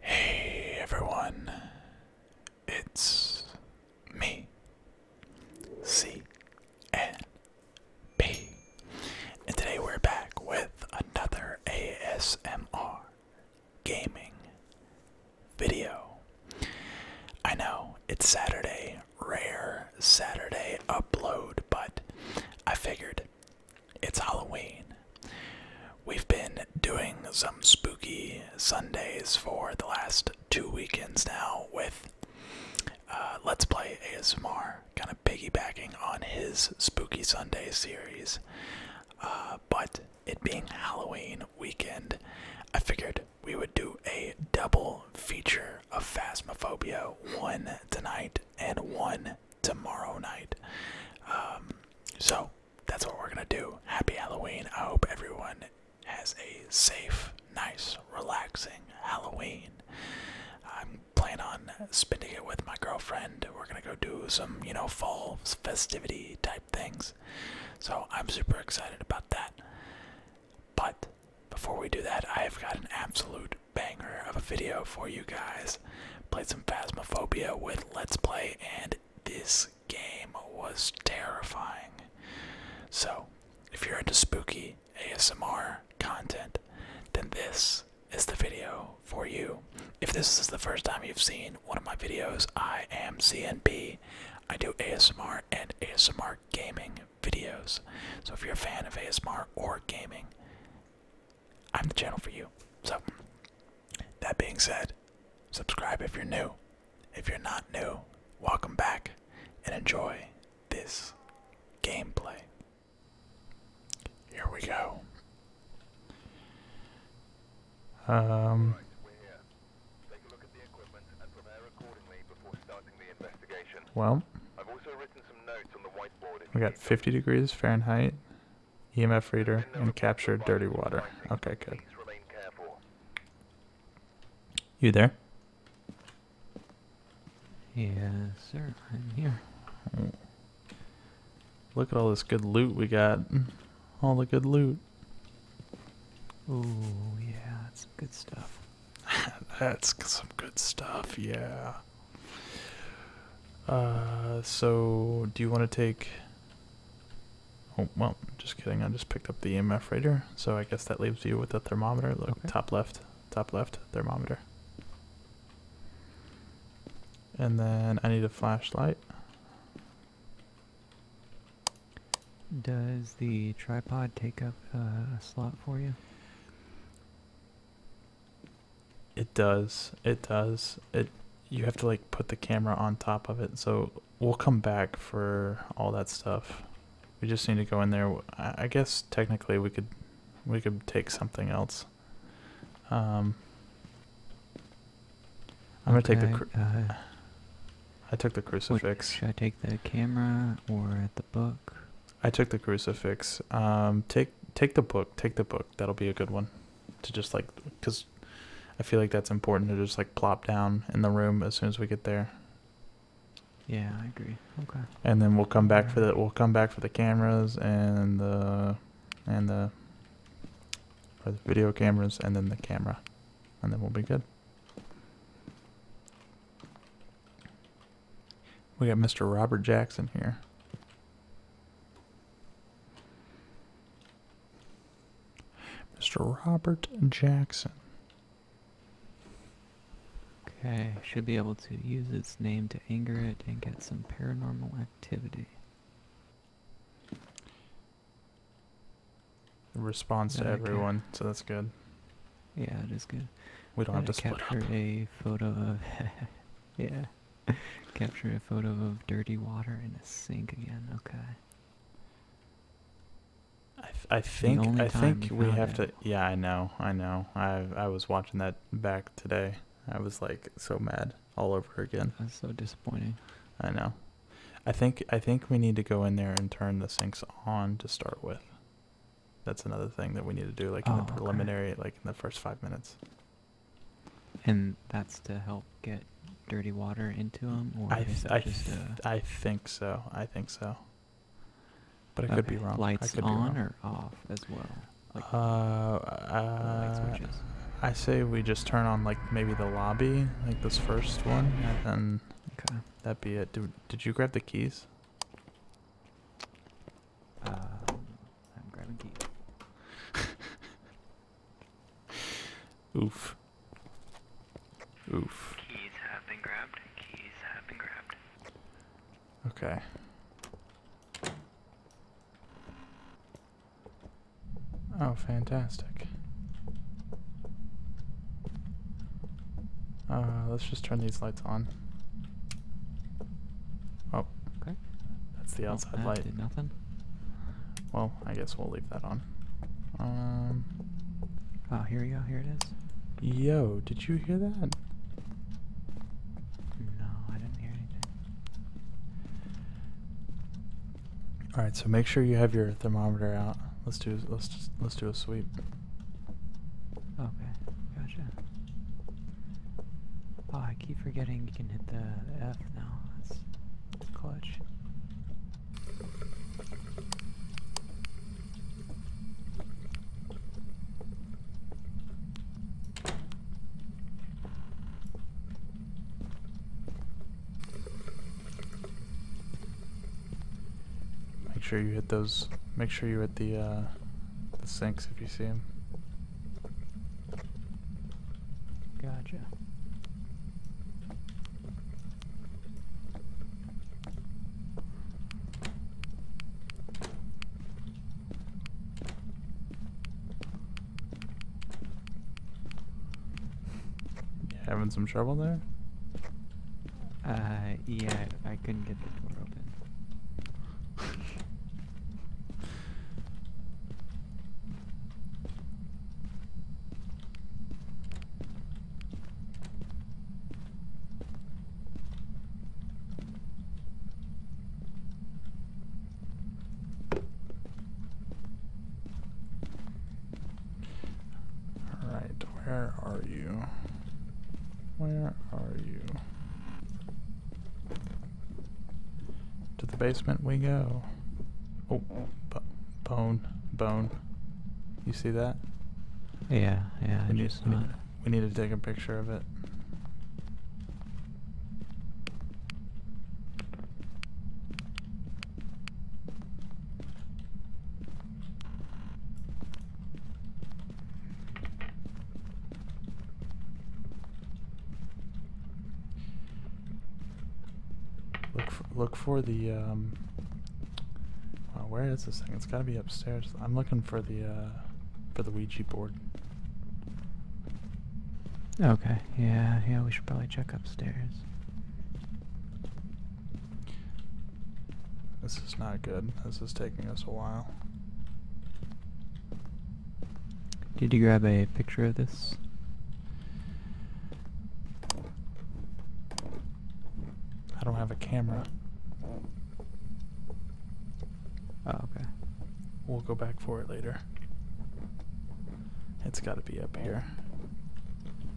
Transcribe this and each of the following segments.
Hey everyone, it's me, C N B, and today we're back with another ASMR gaming video. I know it's Saturday, rare Saturday upload, but I figured it's Halloween. We've been doing some spooky Sundays for the last two weekends now with uh, Let's Play ASMR, kind of piggybacking on his Spooky Sunday series. Uh, but it being Halloween weekend, I figured we would do a double feature of Phasmophobia one tonight and one tomorrow night. Um, so that's what we're gonna do. Happy Halloween. I hope everyone has a safe, nice, relaxing Halloween. I'm planning on spending it with my girlfriend. We're gonna go do some, you know, fall festivity type things. So I'm super excited about that. But before we do that, I've got an absolute banger of a video for you guys. Played some Phasmophobia with Let's Play, and this game was terrifying. So, if you're into spooky ASMR content, then this is the video for you. If this is the first time you've seen one of my videos, I am CNP. I do ASMR and ASMR gaming videos. So if you're a fan of ASMR or gaming, I'm the channel for you. So, that being said, subscribe if you're new. If you're not new, welcome back and enjoy this gameplay. Here we go. Um, Take a look at the equipment and prepare accordingly before starting the investigation. Well, I've also written some notes on the whiteboard. We got 50 degrees Fahrenheit, EMF reader, and captured dirty water. Okay, good. You there? Yes, sir. I'm here. Look at all this good loot we got. All the good loot. Oh, yeah, that's some good stuff. that's some good stuff, yeah. Uh, so, do you want to take... Oh, well, just kidding. I just picked up the EMF reader, so I guess that leaves you with the thermometer. Look, top left, top left, thermometer. And then I need a flashlight. Does the tripod take up uh, a slot for you? It does. It does. It you have to like put the camera on top of it. So we'll come back for all that stuff. We just need to go in there. I guess technically we could we could take something else. Um, I'm gonna take the. Uh, I took the crucifix. should I take the camera or the book? I took the crucifix. Um, take take the book. Take the book. That'll be a good one. To just like, cause I feel like that's important to just like plop down in the room as soon as we get there. Yeah, I agree. Okay. And then we'll come back for the we'll come back for the cameras and the and the, or the video cameras and then the camera, and then we'll be good. We got Mr. Robert Jackson here. Mr. Robert Jackson. Okay, should be able to use its name to anger it and get some paranormal activity. Response to everyone, so that's good. Yeah, it is good. We don't have to split capture a photo of yeah, capture a photo of dirty water in a sink again. Okay. I, I think I think we have to. Yeah, I know, I know. I I was watching that back today. I was like so mad all over again. That's so disappointing. I know. I think I think we need to go in there and turn the sinks on to start with. That's another thing that we need to do, like in the oh, preliminary, like in the first five minutes. And that's to help get dirty water into mm, them, or I th I, think so. I think so. But I could be wrong. Lights on or off as well. uh, uh I say we just turn on like maybe the lobby, like this first one, and then Okay, that'd be it. Did, you grab the keys? Uh, I'm grabbing keys. Oof. Oof. Keys have been grabbed. Keys have been grabbed. Okay. Oh, fantastic. Uh, let's just turn these lights on. Oh. Okay. That's the outside light. nothing. Well, I guess we'll leave that on. Um. Oh, here we go. Here it is. Yo, did you hear that? No, I didn't hear anything. All right, so make sure you have your thermometer out. Let's do let's let's do a sweep. Okay, gotcha. Oh, I keep forgetting you can hit the F now. that's clutch. Make sure you hit those. Make sure you hit the uh, the sinks if you see them. Gotcha. Having some trouble there? Uh, yeah, I couldn't get the door open. Alright, where are you? Where are you? To the basement we go. Oh, bone, bone. You see that? Yeah, yeah, we need, we, we need to take a picture of it. Look for, look for the, um, uh, where is this thing? It's gotta be upstairs. I'm looking for the, uh, for the Ouija board. Okay, yeah, yeah, we should probably check upstairs. This is not good. This is taking us a while. Did you grab a picture of this? I don't have a camera. Oh, okay. We'll go back for it later. It's got to be up here.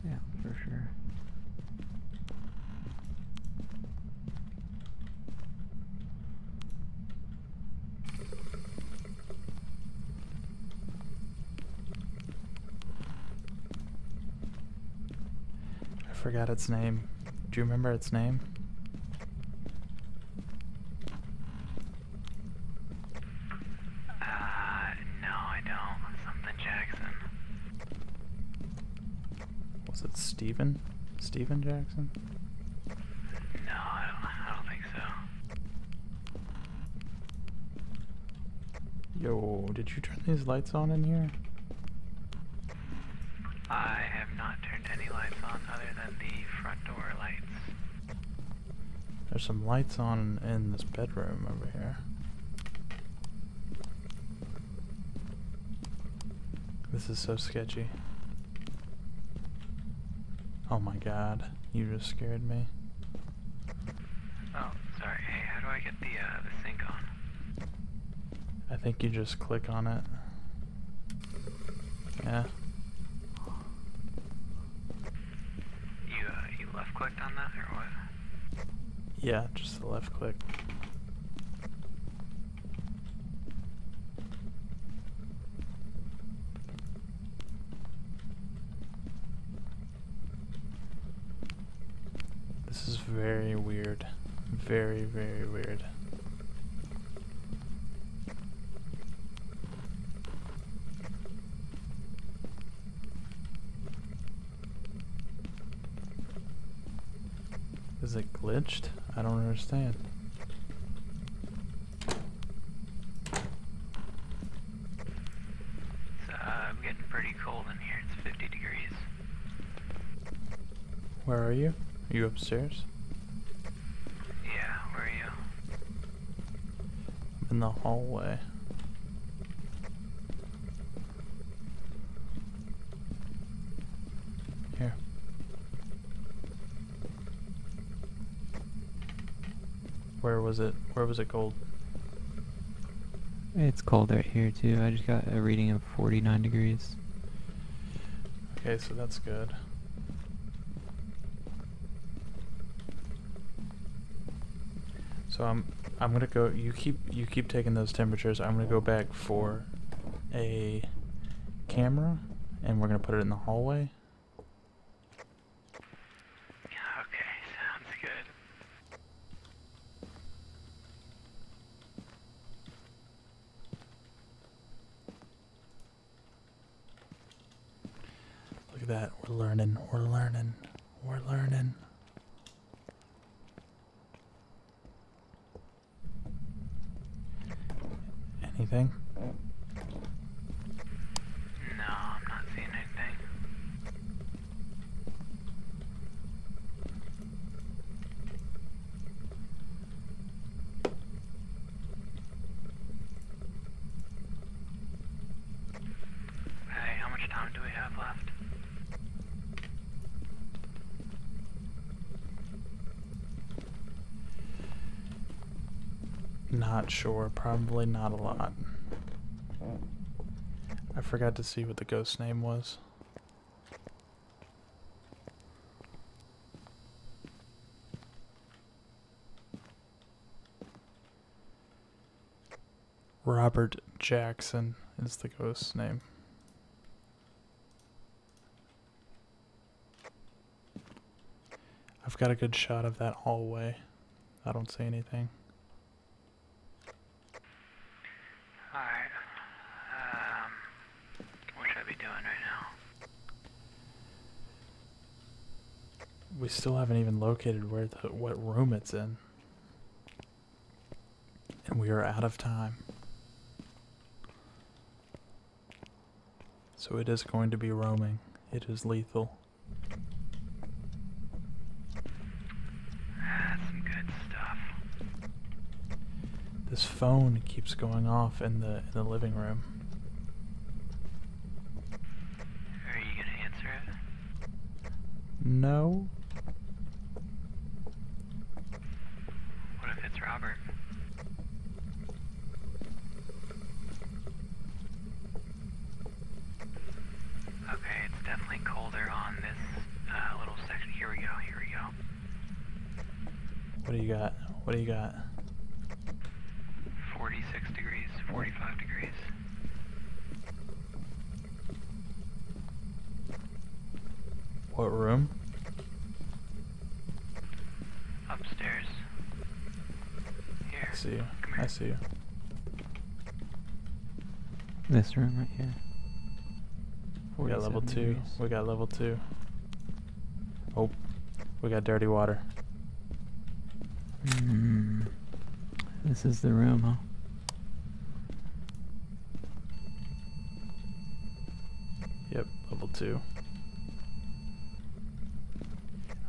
Yeah, for sure. I forgot its name. Do you remember its name? Uh, no, I don't. Something Jackson. Was it Steven? Steven Jackson? No, I don't, I don't think so. Yo, did you turn these lights on in here? I have not turned any lights on other than the front door lights. There's some lights on in this bedroom over here. This is so sketchy. Oh my god, you just scared me. Oh, sorry. Hey, how do I get the, uh, the sink on? I think you just click on it. Yeah. You, uh, you left click? Yeah, just the left click. This is very weird. Very, very weird. Is it glitched? I don't understand. It's, uh, getting pretty cold in here. It's 50 degrees. Where are you? Are you upstairs? Yeah, where are you? in the hallway. Here. Where was it? Where was it cold? It's cold right here too. I just got a reading of 49 degrees. Okay, so that's good. So I'm I'm gonna go. You keep you keep taking those temperatures. I'm gonna go back for a camera, and we're gonna put it in the hallway. Look at that. We're learning. We're learning. We're learning. Anything? No, I'm not seeing anything. Hey, how much time do we have left? Not sure. Probably not a lot. I forgot to see what the ghost's name was. Robert Jackson is the ghost's name. I've got a good shot of that hallway. I don't see anything. Alright. Um, what should I be doing right now? We still haven't even located where the, what room it's in. And we are out of time. So it is going to be roaming. It is lethal. That's some good stuff. This phone keeps going off in the the living room. Are you gonna answer it? No. What if it's Robert? Okay, it's definitely colder on this uh, little section. Here we go, here we go. What do you got? What do you got? 46 degrees, 45 degrees. What room? Upstairs. I see you. I see you. This room right here. We got level two. We got level two. Oh, we got dirty water. Hmm. This is the room, huh? Yep, level two.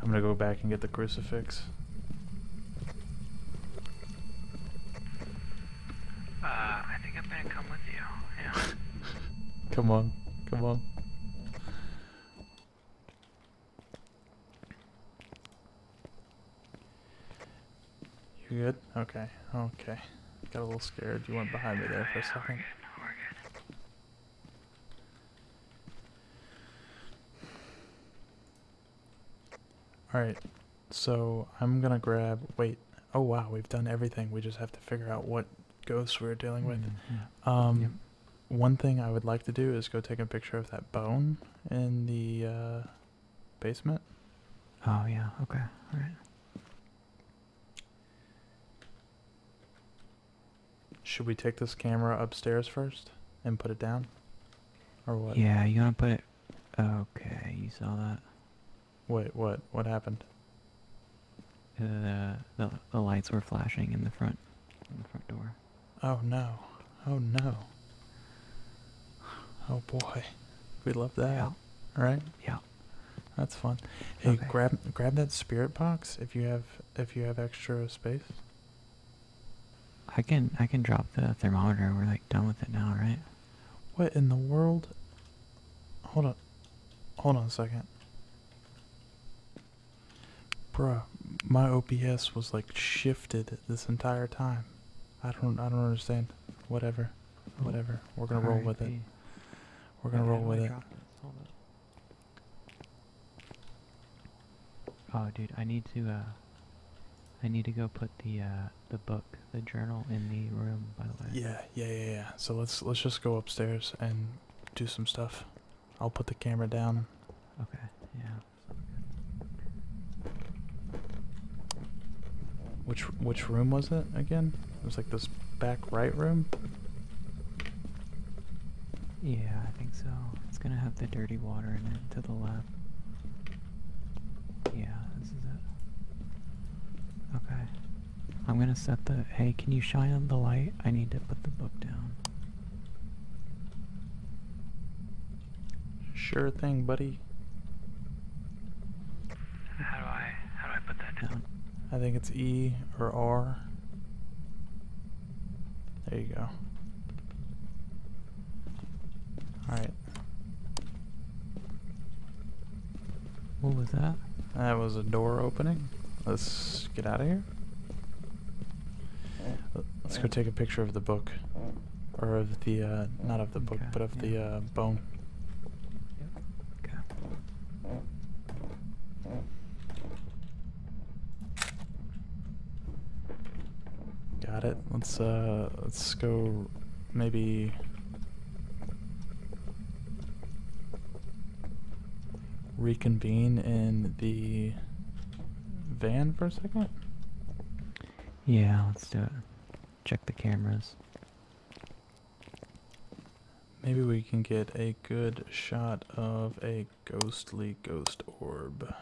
I'm gonna go back and get the crucifix. Uh, I think I'm gonna come with you. Yeah. come on, come on. You good? Okay, okay. Got a little scared. You went behind me there for a second. Alright, so I'm gonna grab. Wait. Oh wow, we've done everything. We just have to figure out what ghosts we are dealing with. Mm-hmm. Um, One thing I would like to do is go take a picture of that bone in the uh, basement. Oh yeah. Okay. All right. Should we take this camera upstairs first and put it down, or what? Yeah, you wanna put it. Okay, you saw that. Wait, what? What happened? Uh, the the lights were flashing in the front, in the front door. Oh no. Oh no. Oh boy. We love that. Right? Yeah. That's fun. Hey, grab grab that spirit box if you have if you have extra space. I can I can drop the thermometer. We're like done with it now, right? What in the world? Hold on. Hold on a second. Bruh, my OPS was like shift this entire time. I don't I don't understand. Whatever. Oh, whatever. We're gonna roll with it. We're gonna roll oh with it. Oh dude, I need to uh I need to go put the uh the book, the journal in the room by the way. Yeah, yeah, yeah, yeah. So let's let's just go upstairs and do some stuff. I'll put the camera down. Okay, yeah. Which which room was it again? It was like this back right room. Yeah, I think so. It's gonna have the dirty water in it to the left. Yeah, this is it. Okay. I'm gonna set the. Hey, can you shine on the light? I need to put the book down. Sure thing, buddy. How do I how do I put that down? I think it's E or R. There you go. Alright. What was that? That was a door opening. Let's get out of here. Let's go take a picture of the book. Or of the, uh, not of the book, but of the uh, bone. Got it. Let's uh let's go maybe reconvene in the van for a second. Yeah, let's do it. Check the cameras. Maybe we can get a good shot of a ghostly ghost orb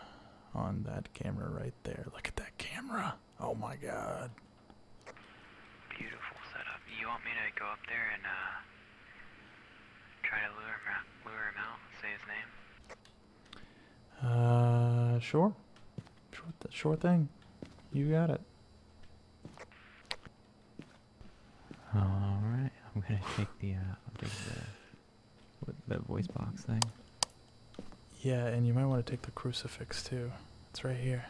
on that camera right there. Look at that camera. Oh my god. Beautiful setup. You want me to go up there and uh, try to lure him, out, lure him out say his name? Uh, sure. Sure, sure thing. You got it. All right, I'm gonna take the uh, take the the voice box thing. Yeah, and you might want to take the crucifix too. It's right here.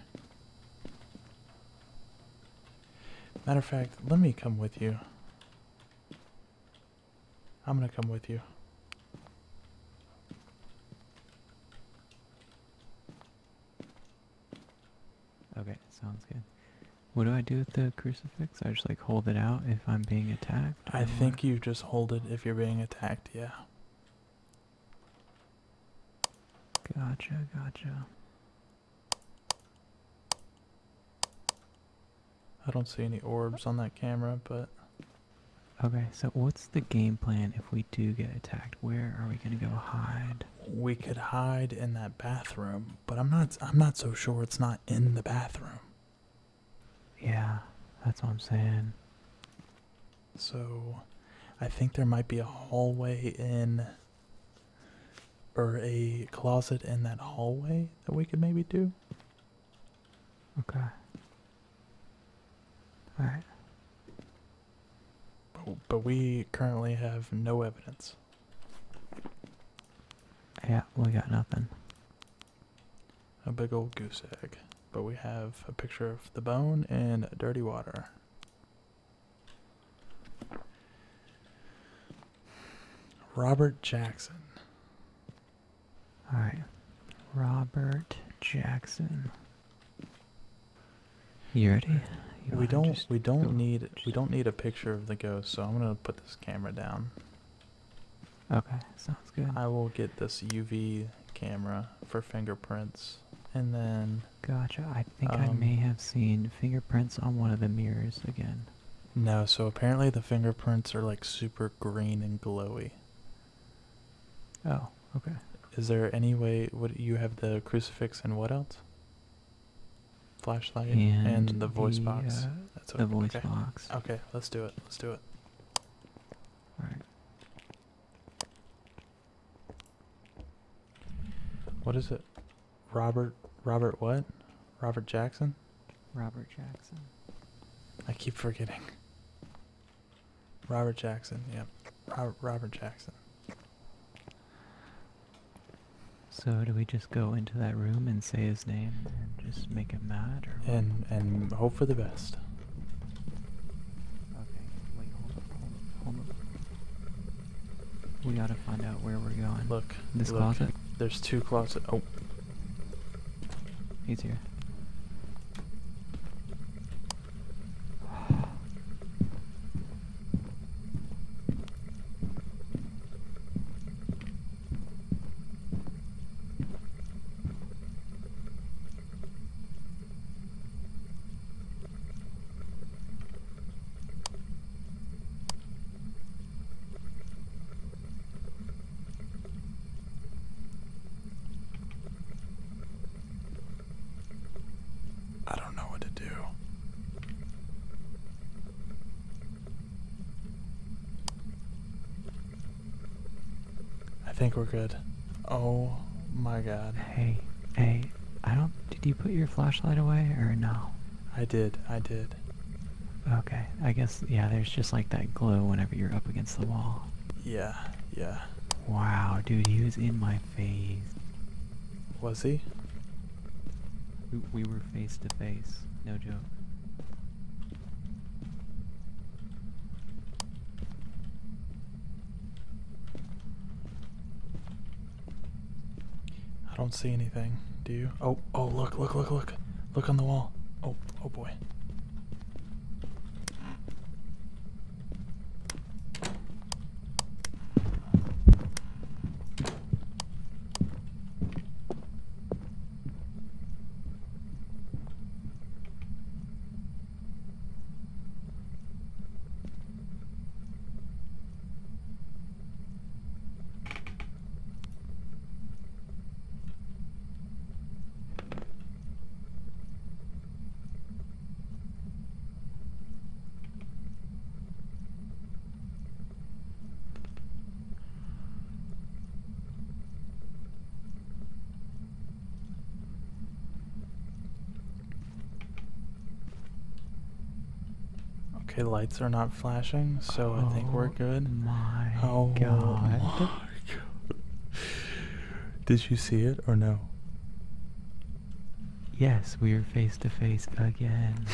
Matter of fact, let me come with you. I'm gonna come with you. Okay, sounds good. What do I do with the crucifix? I just like hold it out if I'm being attacked? I think you just hold it if you're being attacked, yeah. Gotcha, gotcha. I don't see any orbs on that camera, but. Okay, so what's the game plan if we do get attacked? Where are we gonna go hide? We could hide in that bathroom, but I'm not. I'm not so sure it's not in the bathroom. Yeah, that's what I'm saying. So, I think there might be a hallway in. Or a closet in that hallway that we could maybe do. Okay. Alright. But, we currently have no evidence. Yeah, we got nothing. A big old goose egg. But we have a picture of the bone and dirty water. Robert Jackson. All right. Robert Jackson. You ready? we don't. We don't need. We don't need a picture of the ghost. So I'm gonna put this camera down. Okay, sounds good. I will get this UV camera for fingerprints, and then. Gotcha. I think I um, may have seen fingerprints on one of the mirrors again. No, so apparently the fingerprints are like super green and glowy. Oh, okay. Is there any way? Would you have the crucifix and what else? Flashlight and, the voice box. Uh, the voice okay. box. Okay, let's do it. Let's do it. All right. What is it? Robert. Robert what? Robert Jackson. Robert Jackson. I keep forgetting. Robert Jackson, yep. Robert, Jackson. So do we just go into that room and say his name and just make him mad, or and and hope for the best? Okay, wait, hold up, hold up, We gotta find out where we're going. Look, this closet. There's two closets. Oh, He's here. I don't know what to do. I think we're good. Oh my god. Hey, hey, I don't. Did you put your flashlight away or no? I did, I did. Okay, I guess, yeah, there's just like that glow whenever you're up against the wall. Yeah, yeah. Wow, dude, he was in my face. Was he? We, were face to face, no joke. I don't see anything, do you? Oh, oh, look, look, look, look. Look on the wall. Oh, oh boy. Okay, lights are not flashing, so I think we're oh good. My oh God. Did you see it or no? Yes, we are face to face again.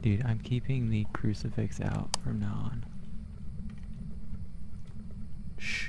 Dude, I'm keeping the crucifix out from now on. Shh.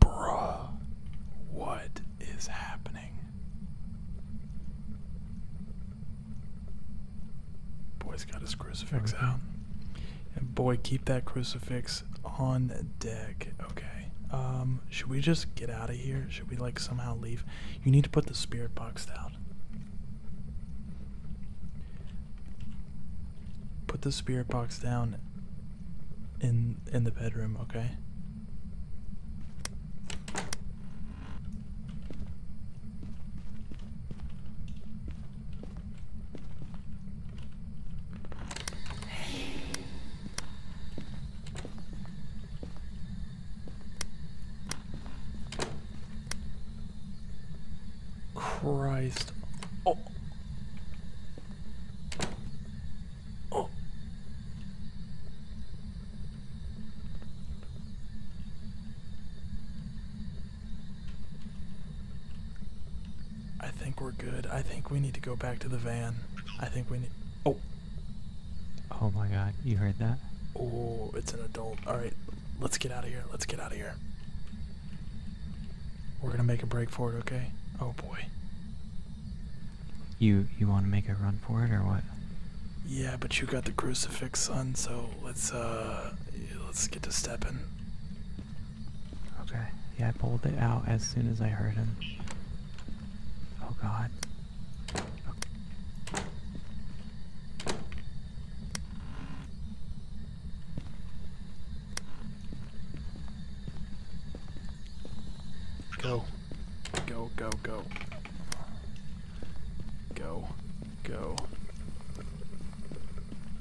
Bruh, what is happening? Boy's got his crucifix out. And boy, keep that crucifix on deck. Okay. Um, should we just get out of here? Should we like somehow leave? You need to put the spirit box down. Put the spirit box down in in the bedroom, okay? Christ. Oh. Oh. I think we're good. I think we need to go back to the van. I think we need. Oh. Oh my god, you heard that? Oh, it's an adult. Alright, let's get out of here. Let's get out of here. We're gonna make a break for it, okay? Oh boy. You you wanna make a run for it or what? Yeah, but you got the crucifix, son, so let's uh let's get to stepping. Okay. Yeah, I pulled it out as soon as I heard him. Oh god. Go. Go, go, go. Go. Go.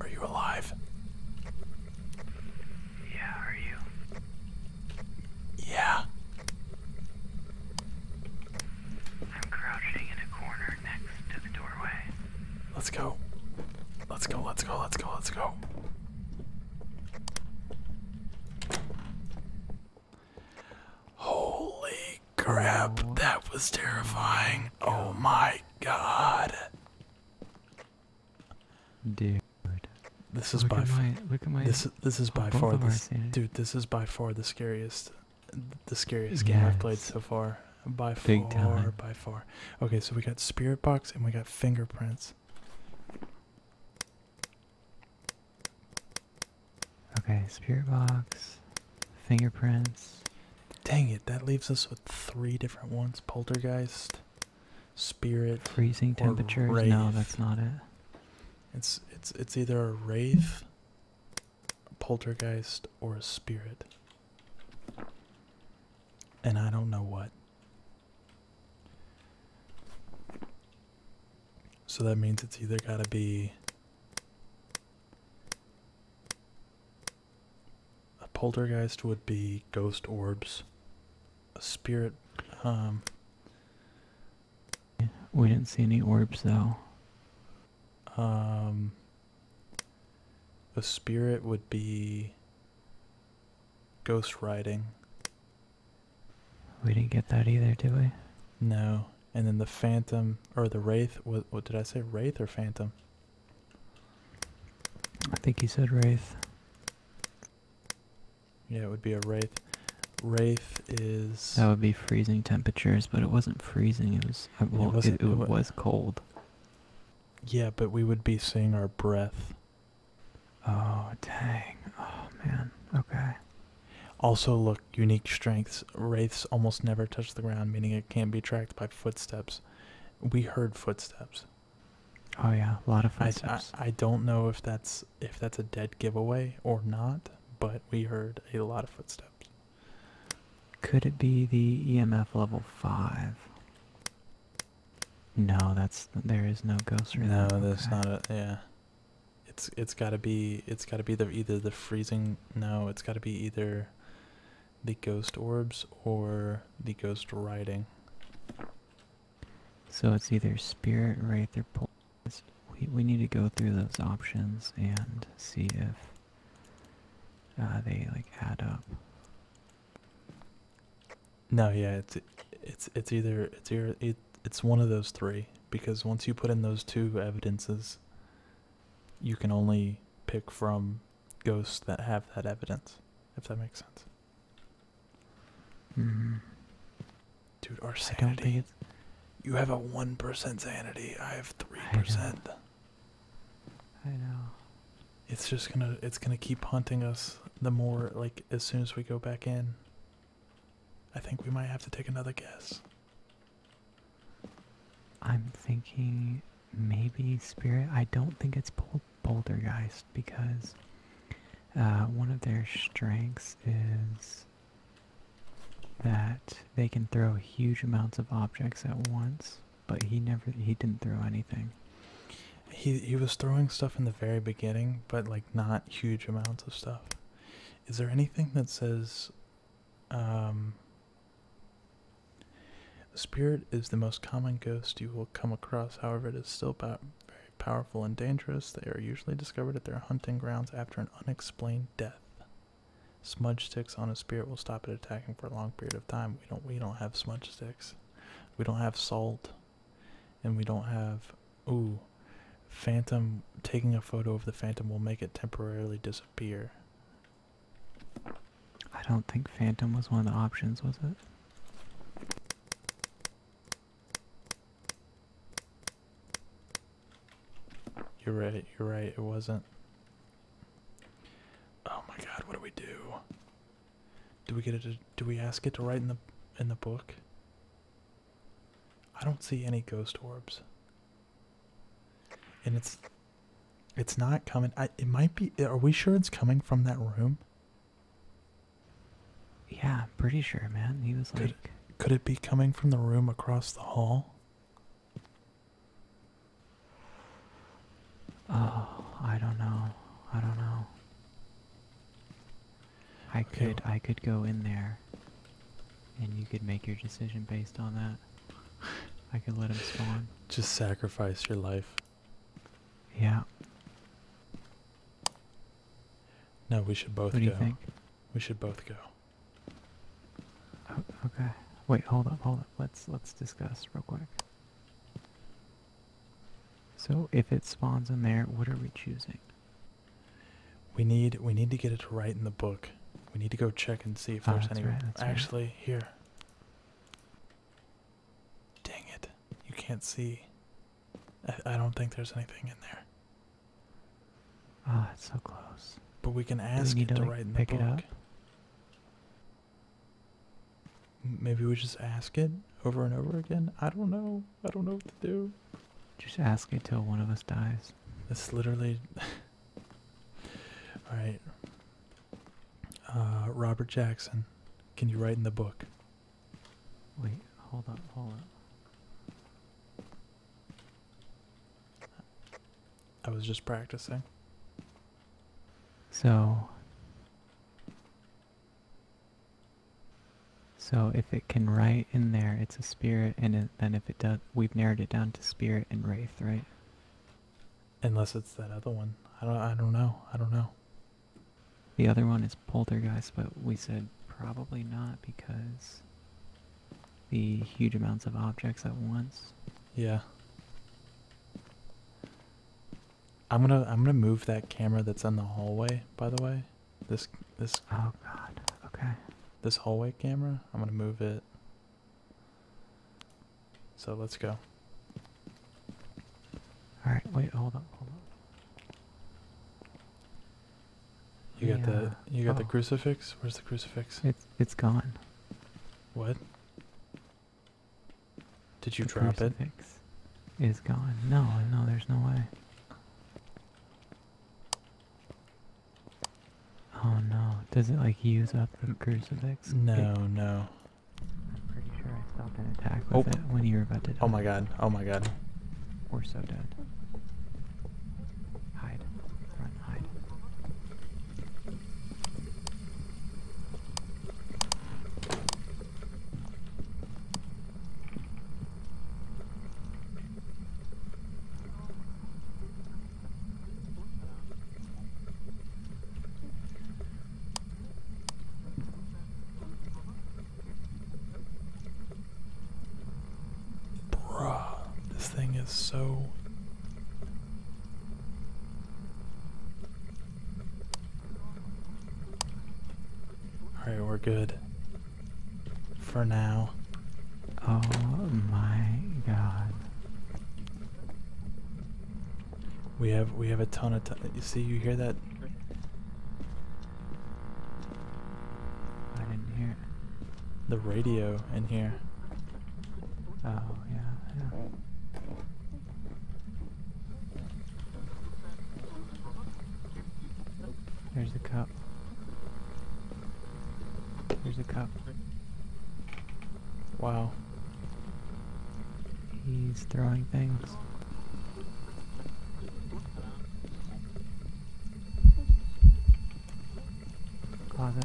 Are you alive? Yeah, are you? Yeah. I'm crouching in a corner next to the doorway. Let's go. Let's go, let's go, let's go, let's go. Holy crap, that was terrifying. Oh my god. Dude. This is by this this is by far this dude, this is by far the scariest the scariest game I've played so far. By far, by far. Okay, so we got spirit box and we got fingerprints. Okay, spirit box, fingerprints. Dang it, that leaves us with three different ones. Poltergeist, spirit, freezing temperatures. No, that's not it. It's it's it's either a wraith, poltergeist, or a spirit. And I don't know what. So that means it's either got to be a poltergeist would be ghost orbs, a spirit. Um, we didn't see any orbs though. Um, a spirit would be ghost riding. We didn't get that either, did we? No. And then the Phantom or the Wraith. What, did I say? Wraith or Phantom? I think he said Wraith. Yeah, it would be a Wraith. Wraith is. That would be freezing temperatures, but it wasn't freezing. It was. Uh, it was cold. Yeah, but we would be seeing our breath. Oh, dang. Oh, man. Okay. Also, look, unique strengths. Wraiths almost never touch the ground, meaning it can't be tracked by footsteps. We heard footsteps. Oh yeah, a lot of footsteps. I, don't know if that's if that's a dead giveaway or not, but we heard a lot of footsteps. Could it be the EMF level five? No, that's there is no ghost. No, that's not it. yeah it's it's got to be it's got to be the either the freezing no it's got to be either the ghost orbs or the ghost writing. so it's either spirit wraith or pulse we, we need to go through those options and see if uh, they like add up no, yeah, it's it's it's either it's it, it's one of those three because once you put in those two evidences, you can only pick from ghosts that have that evidence, if that makes sense. Mm-hmm. Dude, our sanity. You have a one percent sanity. I have three percent. I know. It's just gonna it's gonna keep haunting us the more like as soon as we go back in. I think we might have to take another guess. I'm thinking maybe Spirit. I don't think it's Bol Bouldergeist because uh, one of their strengths is that they can throw huge amounts of objects at once, but he never he didn't throw anything. He he was throwing stuff in the very beginning, but like not huge amounts of stuff. Is there anything that says um, spirit is the most common ghost you will come across, however, it is still po very powerful and dangerous. They are usually discovered at their hunting grounds after an unexplained death. Smudge sticks on a spirit will stop it attacking for a long period of time. We don't we don't have smudge sticks. We don't have salt and we don't have ooh phantom taking a photo of the phantom will make it temporarily disappear i don't think phantom was one of the options was it you're right you're right it wasn't oh my god what do we do do we get it do we ask it to write in the in the book I don't see any ghost orbs. And it's it's not coming. I it might be are we sure it's coming from that room? Yeah, pretty sure, man. He was like Could it be coming from the room across the hall? Oh, I don't know. I don't know. I could I could go in there and you could make your decision based on that. I could let him spawn. Just sacrifice your life. Yeah. No, we should both what do go. You think? We should both go. Oh, okay. Wait, hold up, hold up. Let's let's discuss real quick. So if it spawns in there, what are we choosing? We need we need to get it right in the book. We need to go check and see if ah, there's anything. actually here. Dang it. You can't see. I, don't think there's anything in there. Oh, it's so close. But we can ask it to, write in the book. Maybe we just ask it over and over again. I don't know. I don't know what to do. Just ask it till one of us dies. This literally. All right. Uh, Robert Jackson, can you write in the book? Wait, hold up, hold up. I was just practicing. So, so if it can write in there, it's a spirit, and then if it does, we've narrowed it down to spirit and wraith, right? Unless it's that other one. I don't, I don't know. I don't know. The other one is poltergeist, but we said probably not because the huge amounts of objects at once. Yeah. I'm gonna I'm gonna move that camera that's in the hallway, by the way. This this oh god. Okay. This hallway camera, I'm going to move it. So let's go. All right, wait, hold on, hold on. You got the you got the oh. crucifix? Where's the crucifix? It's it's gone. What? Did you drop it? It's gone. No, no, there's no way. Oh no, does it like use up the crucifix? No, no. I'm pretty sure I stopped an attack with oh. it when you were about to Oh my god, oh my god. We're so dead. Hide. Run, hide. Bruh, this thing is so. Alright, we're good for now. Oh my god. We have we have a ton of time. you see you hear that? I didn't hear The radio in here. Oh yeah. There's the cup. There's the cup. Wow. He's throwing things. Closet.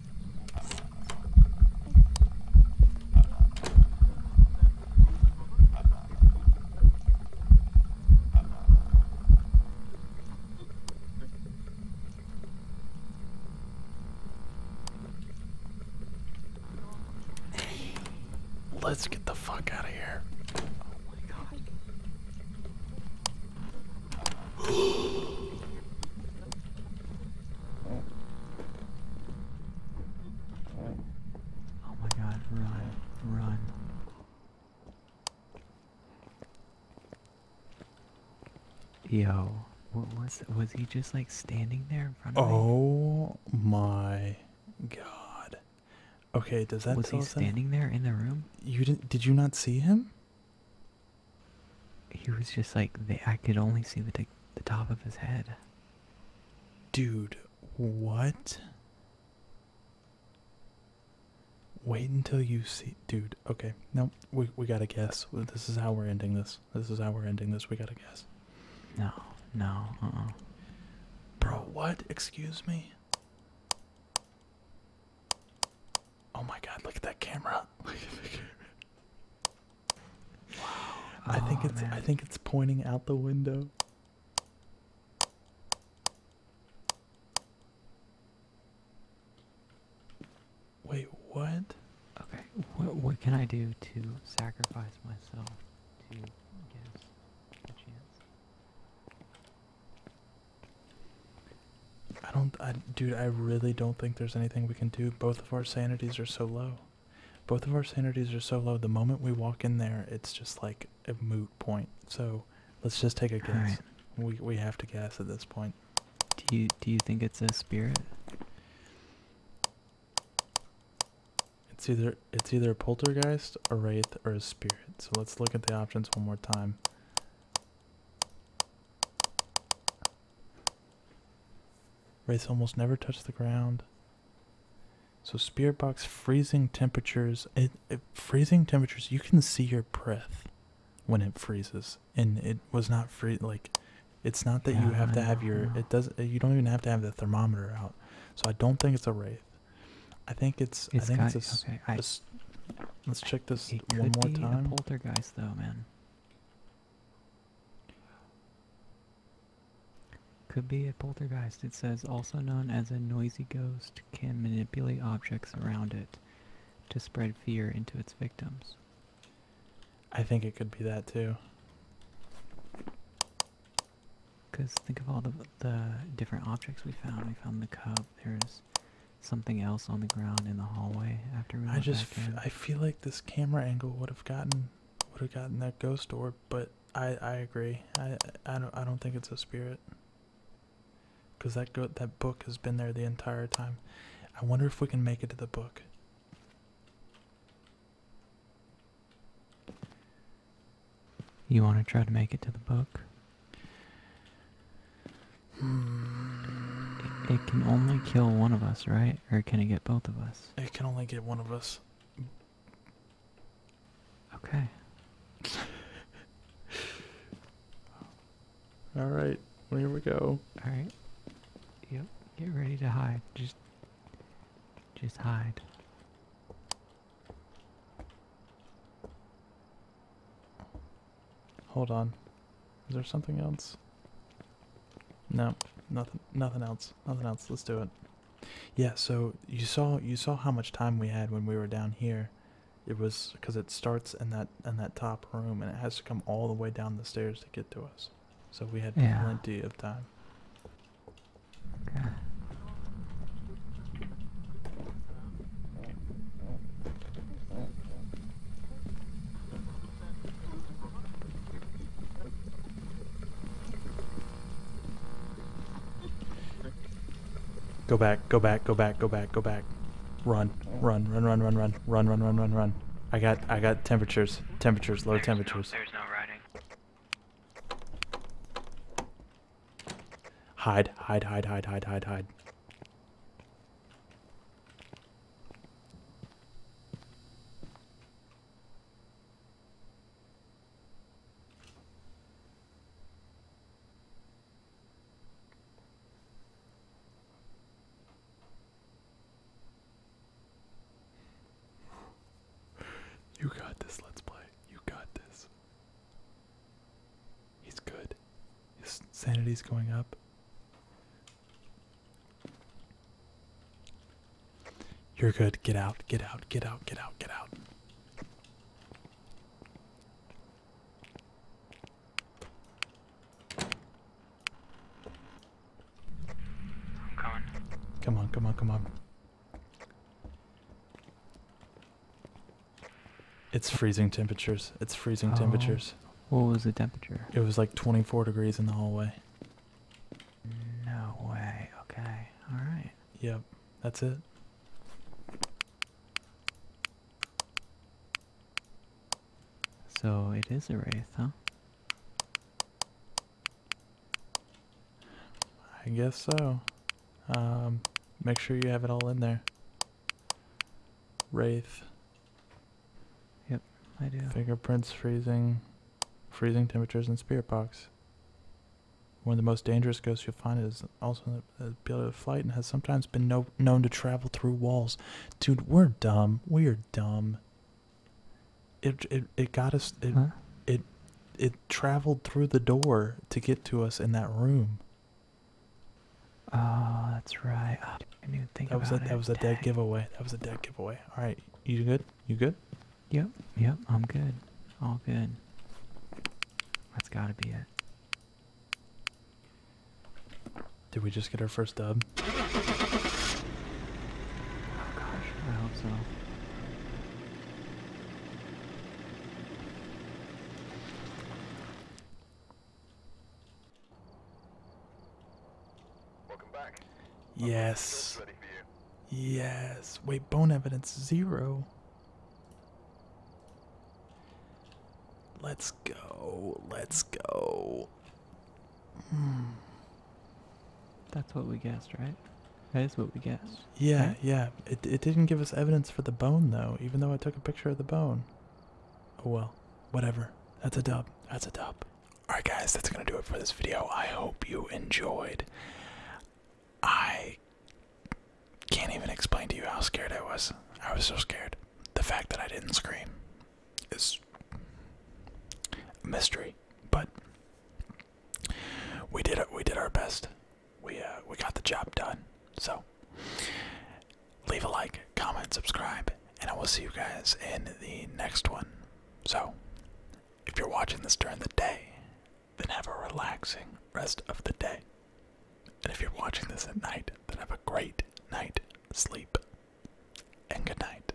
Let's get the fuck out of here. Oh my God oh my god, run, run. Yo, what was was he just like standing there in front of me? Oh my god. Okay, does that was he standing there in the room? You didn't? Did you not see him? He was just like, they, I could only see the, the top of his head. Dude, what? Wait until you see, dude. Okay, no, we we gotta guess. This is how we're ending this. This is how we're ending this. We gotta guess. No, no, uh -uh. Bro, what? Excuse me. Oh my god, look at that camera. Look at the camera. Wow. I think it's I think it's pointing out the window. Wait, what? Okay, what what can I do to sacrifice myself to get a chance? I don't, dude, I really don't think there's anything we can do. Both of our sanities are so low. Both of our sanities are so low. The moment we walk in there, it's just like a moot point. So let's just take a guess. We, we have to guess at this point. Do you, do you think it's a spirit? It's either, it's either a poltergeist, a wraith, or a spirit. So let's look at the options one more time. Wraiths almost never touch the ground. So spirit box freezing temperatures, it, freezing temperatures, you can see your breath when it freezes. And it was not free like it's not that you have to have your ah. it does not you don't even have to have the thermometer out. So I don't think it's a wraith. I think it's, it's I think it's a, Let's check this it one could more be time. A poltergeist, though, man. Could be a poltergeist. It says, also known as a noisy ghost, can manipulate objects around it to spread fear into its victims. I think it could be that too. Because think of all the, the different objects we found. We found the cup, there's something else on the ground in the hallway after we I just I feel like this camera angle would have gotten would have gotten that ghost orb, but I I agree. I I don't I don't think it's a spirit. Cuz that go that book has been there the entire time. I wonder if we can make it to the book. You want to try to make it to the book? It, can only kill one of us, right? Or can it get both of us? It can only get one of us. Okay. All right. here we go. All right. Yep. Get ready to hide. Just, just hide. Hold on. Is there something else? No, nothing nothing else. Nothing else. Let's do it. Yeah, so you saw you saw how much time we had when we were down here. It was cuz it starts in that in that top room and it has to come all the way down the stairs to get to us. So we had plenty of time. Go back, go back, go back, go back, go back. Run, run, run, run, run, run, run, run, run, run, run. I got, I got temperatures, temperatures, low temperatures. there's no riding. Hide, hide, hide, hide, hide, hide, hide. You got this, let's play. You got this. He's good. His sanity's going up. You're good. Get out. Get out. Get out. Get out. Get out. I'm coming. Come on. Come on. Come on. It's freezing temperatures. It's freezing oh. temperatures. What was the temperature? It was like 24 degrees in the hallway. No way. Okay. All right. Yep. That's it. So it is a wraith, huh? I guess so. Um, make sure you have it all in there. Wraith. Yep, I do. Fingerprints freezing. Freezing temperatures in spirit box. One of the most dangerous ghosts you'll find is also an ability to flight and has sometimes been known to travel through walls. Dude, we're dumb. We're dumb. It it, it got us. It, it it traveled through the door to get to us in that room. Oh, that's right. Oh, I knew think that was a, it. That was a dead giveaway. That was a dead giveaway. All right, you good? You good? Yep, yep. I'm good. All good. That's gotta be it. Did we just get our first dub? Oh gosh, I hope so. Yes. Yes. Wait, bone evidence zero. Let's go. Let's go. Hmm. That's what we guessed, right? That is what we guessed. Yeah, yeah. It, it didn't give us evidence for the bone, though, even though I took a picture of the bone. Oh well whatever. That's a dub. That's a dub. Alright, guys, that's going to do it for this video. I hope you enjoyed. I can't even explain to you how scared I was. I was so scared. The fact that I didn't scream is a mystery, but we did it. We did our best. We uh, we got the job done. So Leave a like, comment, subscribe, and I will see you guys in the next one. So, if you're watching this during the day, then have a relaxing rest of the day. And if you're watching this at night, then have a great night, sleep, and good night.